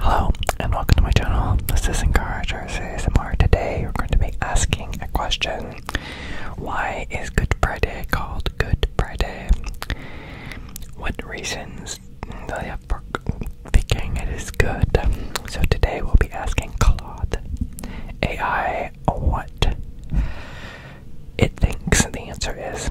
Hello and welcome to my channel. This is Encouragers ASMR. Today we're going to be asking a question. Why is Good Friday called Good Friday? What reasons they have for thinking it is good? So today we'll be asking Claude AI what it thinks the answer is.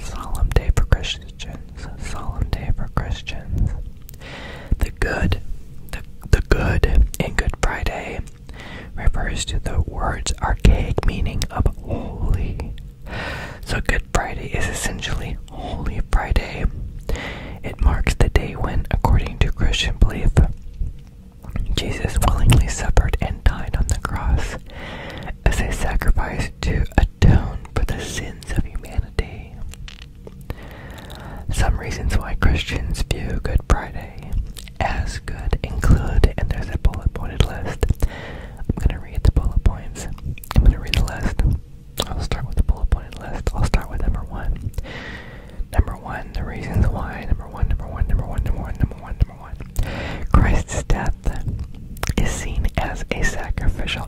Solemn day for Christians. Solemn day for Christians. The good, the, the good in Good Friday refers to the word's archaic meaning of holy. So Good Friday is essentially Holy Friday. It marks the day when, according to Christian belief, Jesus willingly suffered and died on the cross as a sacrifice to atone for the sin sins of humanity. Some reasons why Christians view Good Friday as good include, and there's a bullet pointed list. I'm going to read the bullet points. I'm going to read the list. I'll start with the bullet pointed list. I'll start with number one. Number one, the reasons why. Number one, number one, number one, number one, number one, number one. Christ's death is seen as a sacrificial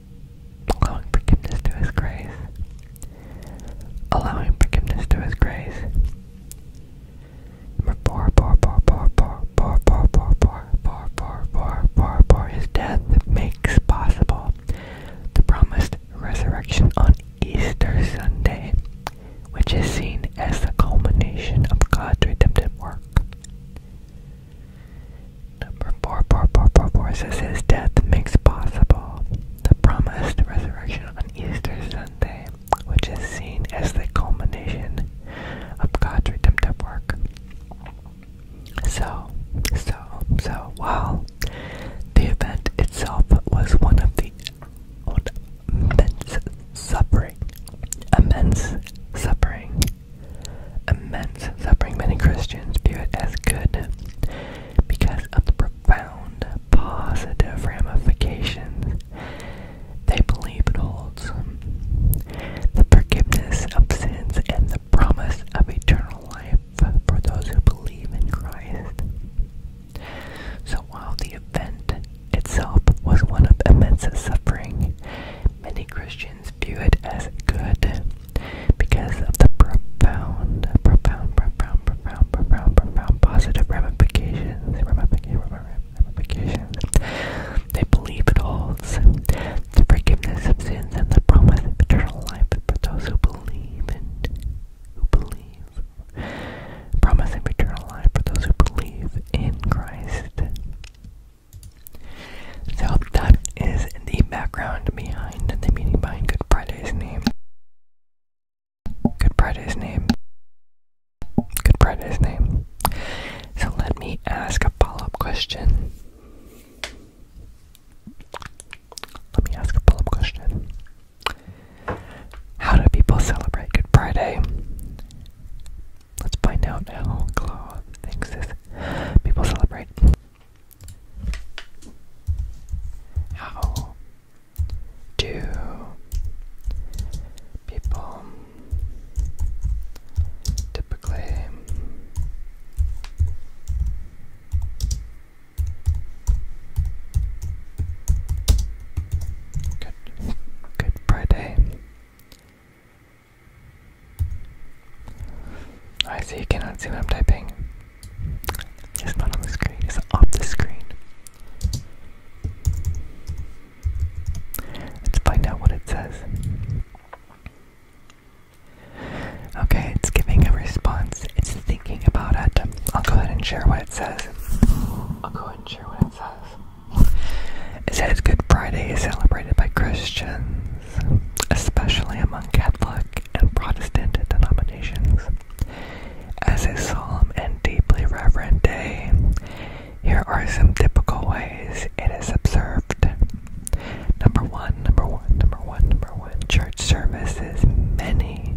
allowing forgiveness to His grace, allowing forgiveness to His grace. Number four, four, four, four, four, four, four, four, four, four, four, four, four, four. His death makes possible the promised resurrection on Easter Sunday, which is seen as the culmination of God's redemptive work. Number for four, four, four, four, four, four says his death makes possible the promised resurrection on Easter Sunday, which is seen as the culmination of God's redemptive work. So, so, so, while the event itself was one of the immense suffering, immense suffering, immense suffering, many Christians view it as good because of the profound positive ramifications they believe it holds. The forgiveness of sins and the promise of eternal life for those who believe in Christ. So while the event itself was one of immense suffering, many Christians view it as good because of the profound, profound, profound, profound, profound, profound positive ramifications, ramifications, ramifications they believe it holds, the forgiveness of sins and the promise of eternal life for those who believe and who believe, promise of eternal life for those who believe in Christ. So that is in the background behind the meaning behind Good Friday's name. Good Friday's name. Good Friday's name. So let me ask a follow up question. Let me ask a follow up question. How do people celebrate Good Friday? Let's find out how Claude thinks this people celebrate. How do people typically good good Friday? I see you cannot see what I'm typing. It's not on the screen, it's off the screen. Let's find out what it says. Okay, it's giving a response. It's thinking about it. I'll go ahead and share what it says. I'll go ahead and share what it says. It says Good Friday is celebrated by Christians especially among Catholic and Protestant denominations. As a solemn and deeply reverent day, here are some typical ways it is observed. Number one, number one, number one, number one, church services. Many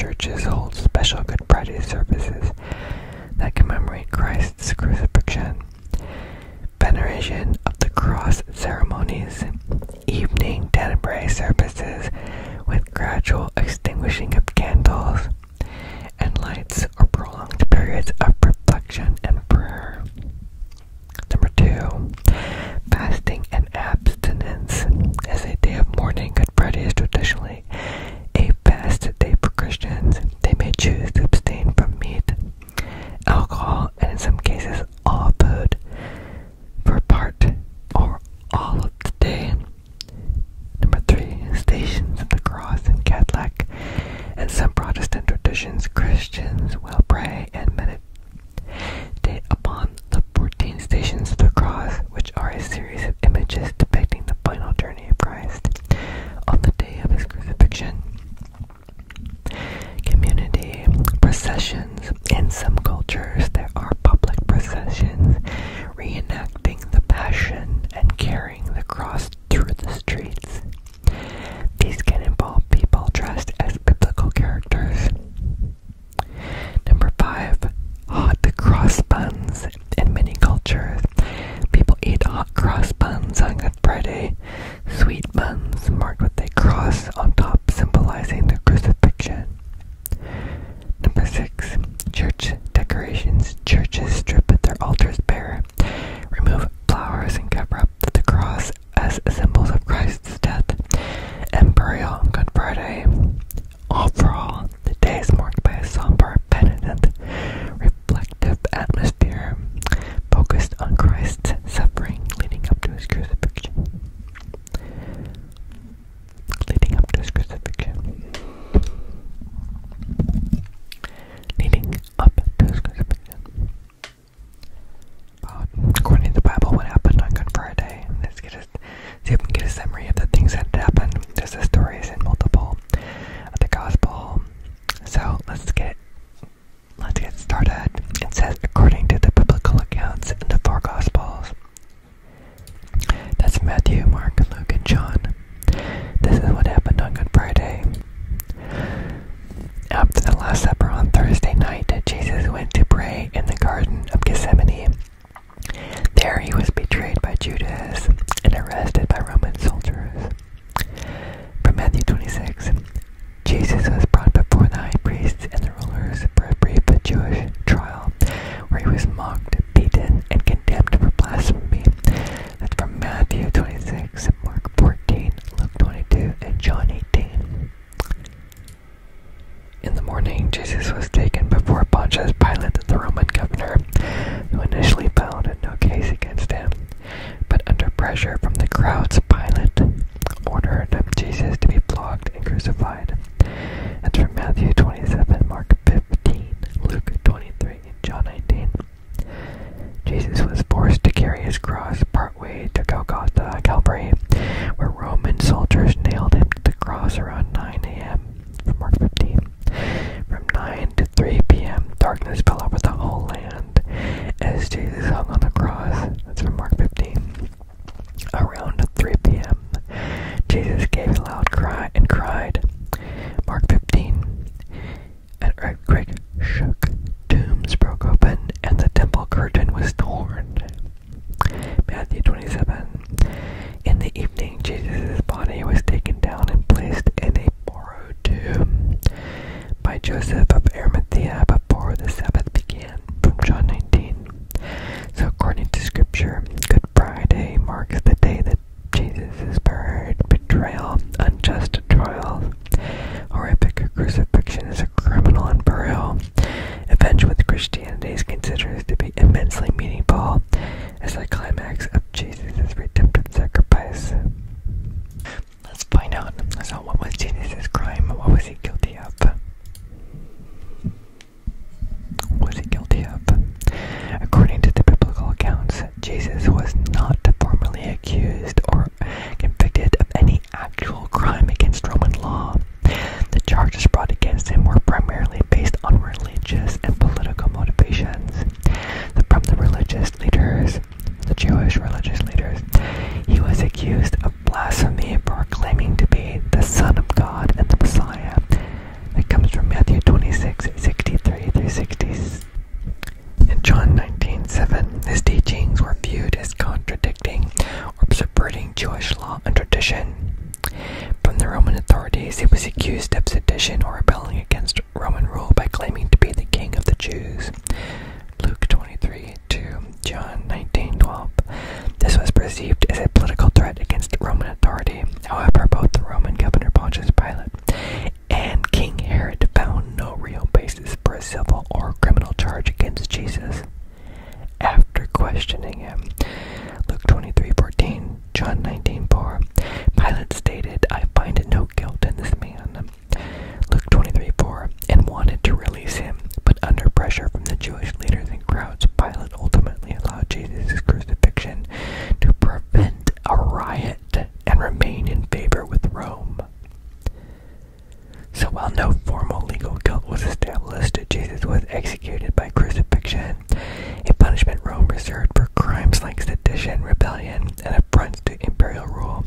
churches hold special Good Friday services that commemorate Christ's crucifixion, veneration of the cross ceremonies, evening Tenebrae services with gradual extinguishing of candles and lights or prolonged periods of reflection and prayer. Number two, fasting and abstinence. As a day of mourning, Good Friday is traditionally a fast day for Christians. They may choose to abstain from meat, alcohol, and in some cases, all food for part or all of the day. Number three, Stations of the Cross in Catholic and some Protestant traditions, Christians will pray and meditate upon the 14 Stations of the Cross, which are a series of images depicting the final journey of Christ on the day of his crucifixion community processions. In some cultures, there are public processions reenacting the passion and carrying the cross through the streets. These can involve people dressed as biblical characters. Number five, hot cross buns. In many cultures, people eat hot cross buns on Good Friday. Sweet buns marked with a cross on top symbolizing the crucifixion. Number six, church decorations. Churches strip their altars bare, remove flowers, and cover up the cross as symbols of Christ's death and burial on Good Friday. Overall, the day is marked by a somber, penitent, reflective atmosphere focused on Christ's suffering leading up to his crucifixion leading up to his crucifixion. Leading up to his crucifixion. according to the Bible, what happened on Good Friday? Let's get a, see if we get a summary of the things that happened. There's the stories in multiple of the Gospel. So let's get Let's get started. It says, according to the biblical accounts in the four Gospels. That's Matthew, Mark, Luke, and John. This is what happened on Good Friday. After the Last Supper on Thursday night, Jesus went to pray in the Garden of Gethsemane. There he was betrayed by Judas and arrested by Roman soldiers. From Matthew 26, Jesus was brought before the high priests and the rulers for a brief Jewish trial, where he was mocked, beaten, and condemned for blasphemy. That's from Matthew 26, Mark 14, Luke 22, and John 18. In the morning, Jesus was taken before Pontius Pilate, the Roman governor, who initially found no case against him. But under pressure from the crowds, Pilate ordered Jesus to be flogged and crucified. That's from Matthew 27, Mark 15, Luke 23, John 19. Jesus was forced to carry his cross partway to Golgotha, Calvary, where Roman soldiers nailed him to the cross around 9 a.m. from Mark 15. From 9 to 3 p.m., darkness fell over the whole land as Jesus hung on the cross. That's from Mark 15. Around 3 p.m., Jesus gave a loud cry and cried. Mark 15. An earthquake shook, tombs broke open, and the temple curtain was torn. Matthew 27. In the evening, Jesus' body was taken down and placed in a borrowed tomb by Joseph of Arimathea before the Sabbath began, from John 19. So, according to Scripture, Good Friday marks the day that Jesus' buried, betrayal, unjust trial, horrific crucifixion is a criminal and burial, event which Christianity considers to be immensely meaningful as the climax of Jesus' redemptive sacrifice. Let's find out. So, what was Jesus' crime? What was he guilty of? was he guilty of? According to the biblical accounts, Jesus was not formally accused or convicted of any actual crime against Roman law. The charges brought against him were primarily based on religious and political motivations. The, from the religious leaders, the Jewish religious leaders, he was accused of blasphemy for claiming to be the Son of God and the Messiah. That comes from Matthew 26, 63 through 60s. In John 19, 7, his teachings were viewed as contradicting or subverting Jewish law and tradition. From the Roman authorities, he was accused of sedition or rebelling against Roman rule by claiming to be the king of the Jews. Luke 20 23 John 19:12. This was perceived as a political threat against Roman authority. However, both the Roman governor Pontius Pilate and King Herod found no real basis for a civil or criminal charge against Jesus. After questioning him, Luke 23:14, John 19:4, Pilate stated, "I find no guilt in this man." Luke 23 4, and wanted to release him, but under pressure from the Jewish leaders and crowds, Pilate ultimately allowed Jesus' crucifixion to prevent a riot and remain in favor with Rome. So while no formal legal guilt was established, Jesus was executed by crucifixion, a punishment Rome reserved for crimes like sedition, rebellion, and affronts to imperial rule.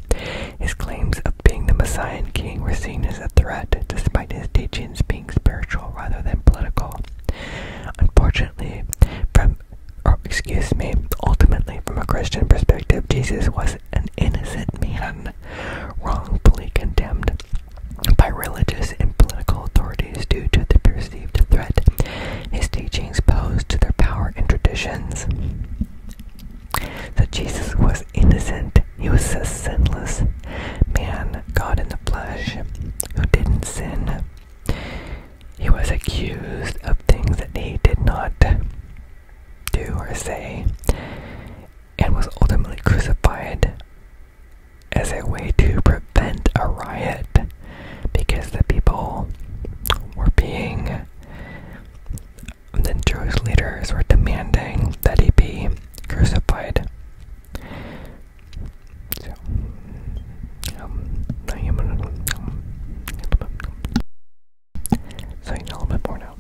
His claims of being the messianic King was seen as a threat, despite his teachings being spiritual rather than political. Unfortunately, from or excuse me, ultimately from a Christian perspective, Jesus was an innocent man, wrongfully condemned by religious and political authorities due to the perceived threat his teachings posed to their power and traditions that Jesus was innocent. He was a sinless man, God in the flesh, who didn't sin. He was accused of things that he did not do or say, and was ultimately crucified as a way to prevent a riot because the people were being and the Jewish leaders were demanding that he be crucified. So, um, um, so a little bit more now.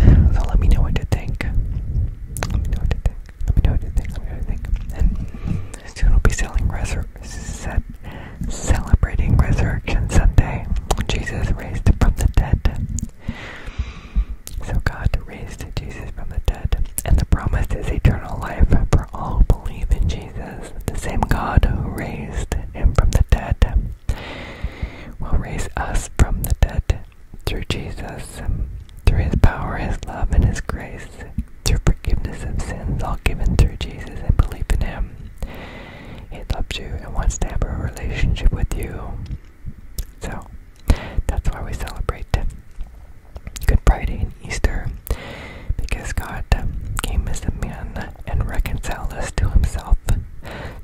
So let me know what you think. Let me know what you think. Let me know what you think. Let me know what you think. And soon we'll be selling reser celebrating Resurrection Sunday. Jesus raised from the dead. So God raised Jesus from the dead, and the promise is eternal life for all who believe in Jesus. The same God who raised him from the dead will raise us from the dead through Jesus, through his power, his love, and his grace, through forgiveness of sins, all given through Jesus and belief in him. He loves you and wants to have a relationship with you. So, that's why we celebrate Good Friday and Easter, because God came as a man and reconciled us to Himself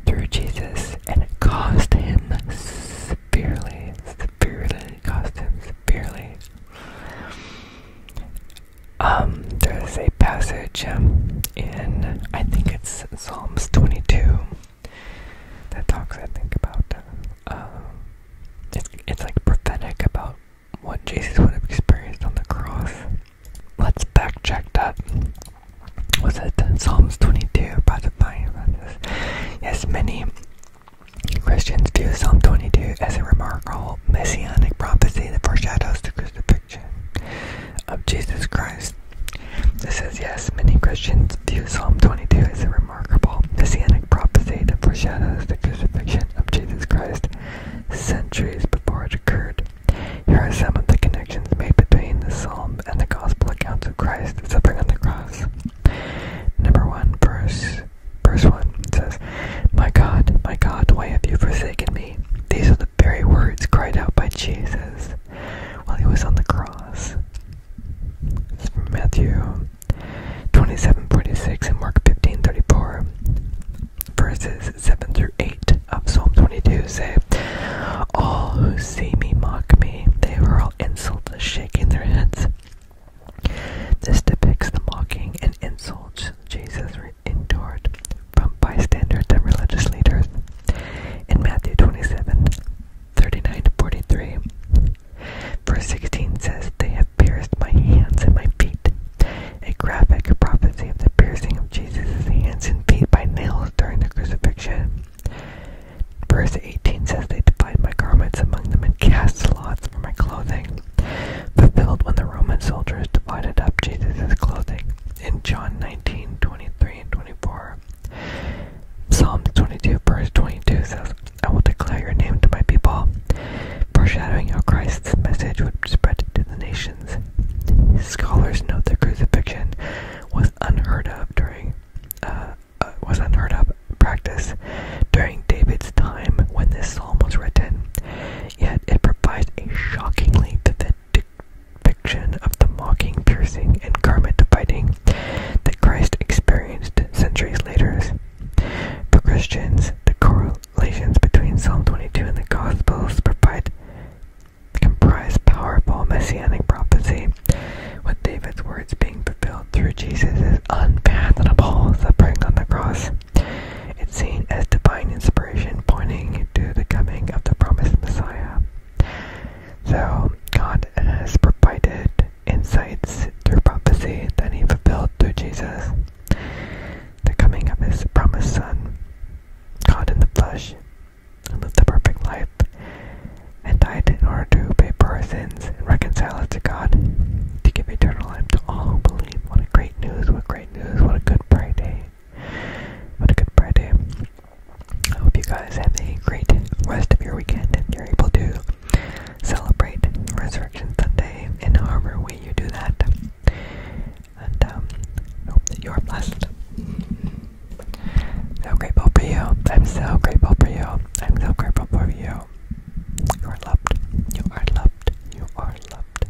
through Jesus, and it cost Him severely, severely, cost Him severely. Um, there's a passage um, in, I think it's Psalms 22, that talks, I think, about, uh, it's, it's like prophetic about what Jesus would have experienced on the cross. Let's fact check that. Was it Psalms 22? Yes, many Christians view Psalm 22 as a remarkable messianic prophecy that foreshadows the crucifixion of Jesus Christ. It says, yes, many Christians view Psalm 22 as a remarkable messianic prophecy that foreshadows the crucifixion of Jesus Christ centuries before it occurred. Here are some of the connections made between the psalm and the gospel accounts of Christ suffering on the cross. Number one, verse verse one says, My God, my God, why have you forsaken me? These are the very words cried out by Jesus while he was on the cross. It's from Matthew 27:46 and Mark 15:34. Verses 7 through 8 of Psalm 22 say, All who see me mock me, they were all insulted, shaking their heads. This depicts the mocking and insults Jesus were from bystanders and religious leaders. In Matthew 27 39 43, verse 16 says, They have pierced my hands and my feet. A graphic prophecy of the piercing of Jesus' hands and feet by nails during the crucifixion. Verse 18 says, They divided my garments among them and cast lots for my clothing, fulfilled when the Roman soldiers divided up Jesus' clothing in John 19, 23 and 24. Psalm 22, verse 22 says, I will declare your name to my people, foreshadowing how Christ's message would spread to the nations. Scholars note the crucifixion was unheard of during uh, uh, was unheard of practice during David's time when this psalm was written. Yet it provides a shockingly vivid depiction of the mocking, piercing, and garment-biting that Christ experienced centuries later. For Christians, the correlations between Psalm 22 and the Gospels provide comprise powerful messianic prophecy, with David's words being fulfilled through Jesus' unfathomable suffering on the cross. It's seen as divine inspiration pointing to the coming of the promised Messiah. So, God has provided insights through prophecy that he fulfilled through Jesus, the coming of his promised Son, God in the flesh, lived the perfect life and died in order to pay for our sins and reconcile us to God, to give eternal life to all who believe. What a great news, what great news, what a good Friday. What a good Friday. I hope you guys have a great rest of your weekend and you're able to celebrate Resurrection Sunday in however way you do that. And um, I hope that you are blessed. So grateful for you. I'm so grateful for you. I'm so grateful for you. You are loved. You are loved. You are loved.